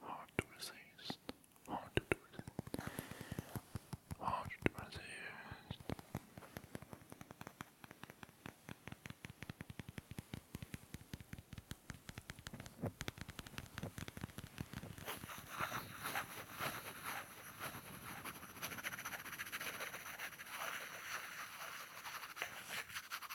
Hard to resist. Hard to resist. Hard to resist.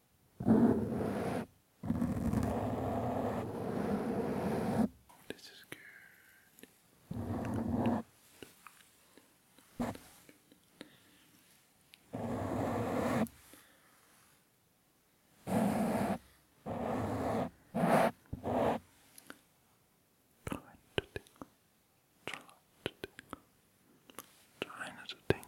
This is good. Try to tingle, try to tingle, trying not to tingle.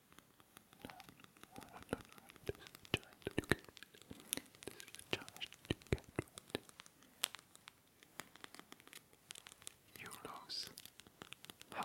no, no, this is the challenge that you get. This is the challenge that you get. You lose. Ha!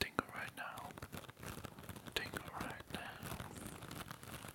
Tingle right now. Tingle right now.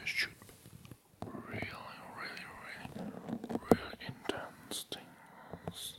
This should be really, really, really, really intense things.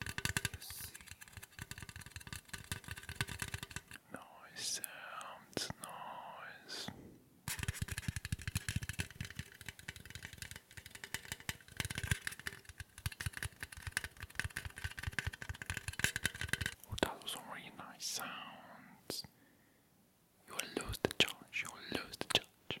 see. sounds, noise. Oh, that really nice sounds. You will lose the charge, you will lose the charge.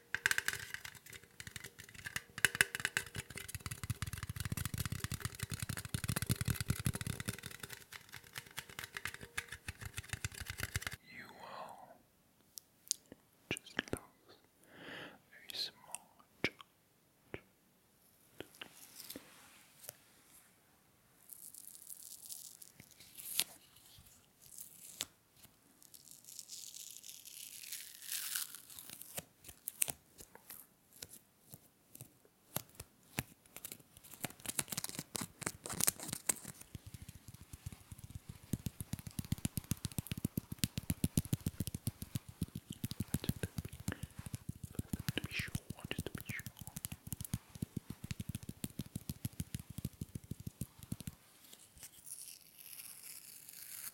You will just lose a small chunk. Just to be sure, just to be sure. Good.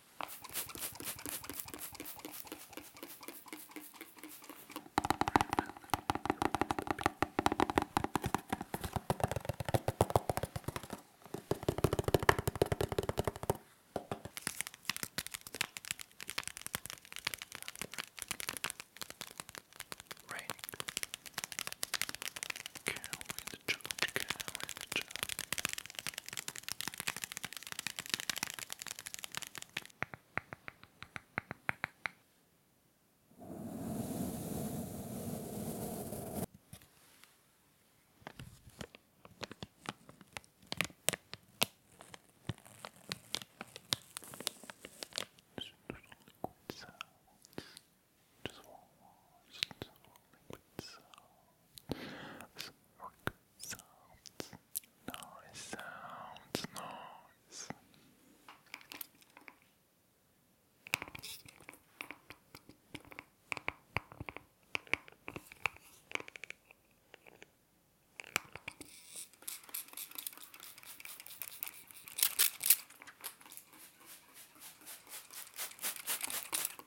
Raining. Cow in the jungle, cow in the Georgia. Just one more, just one liquid sound. Some rock sounds, noise, sounds, noise.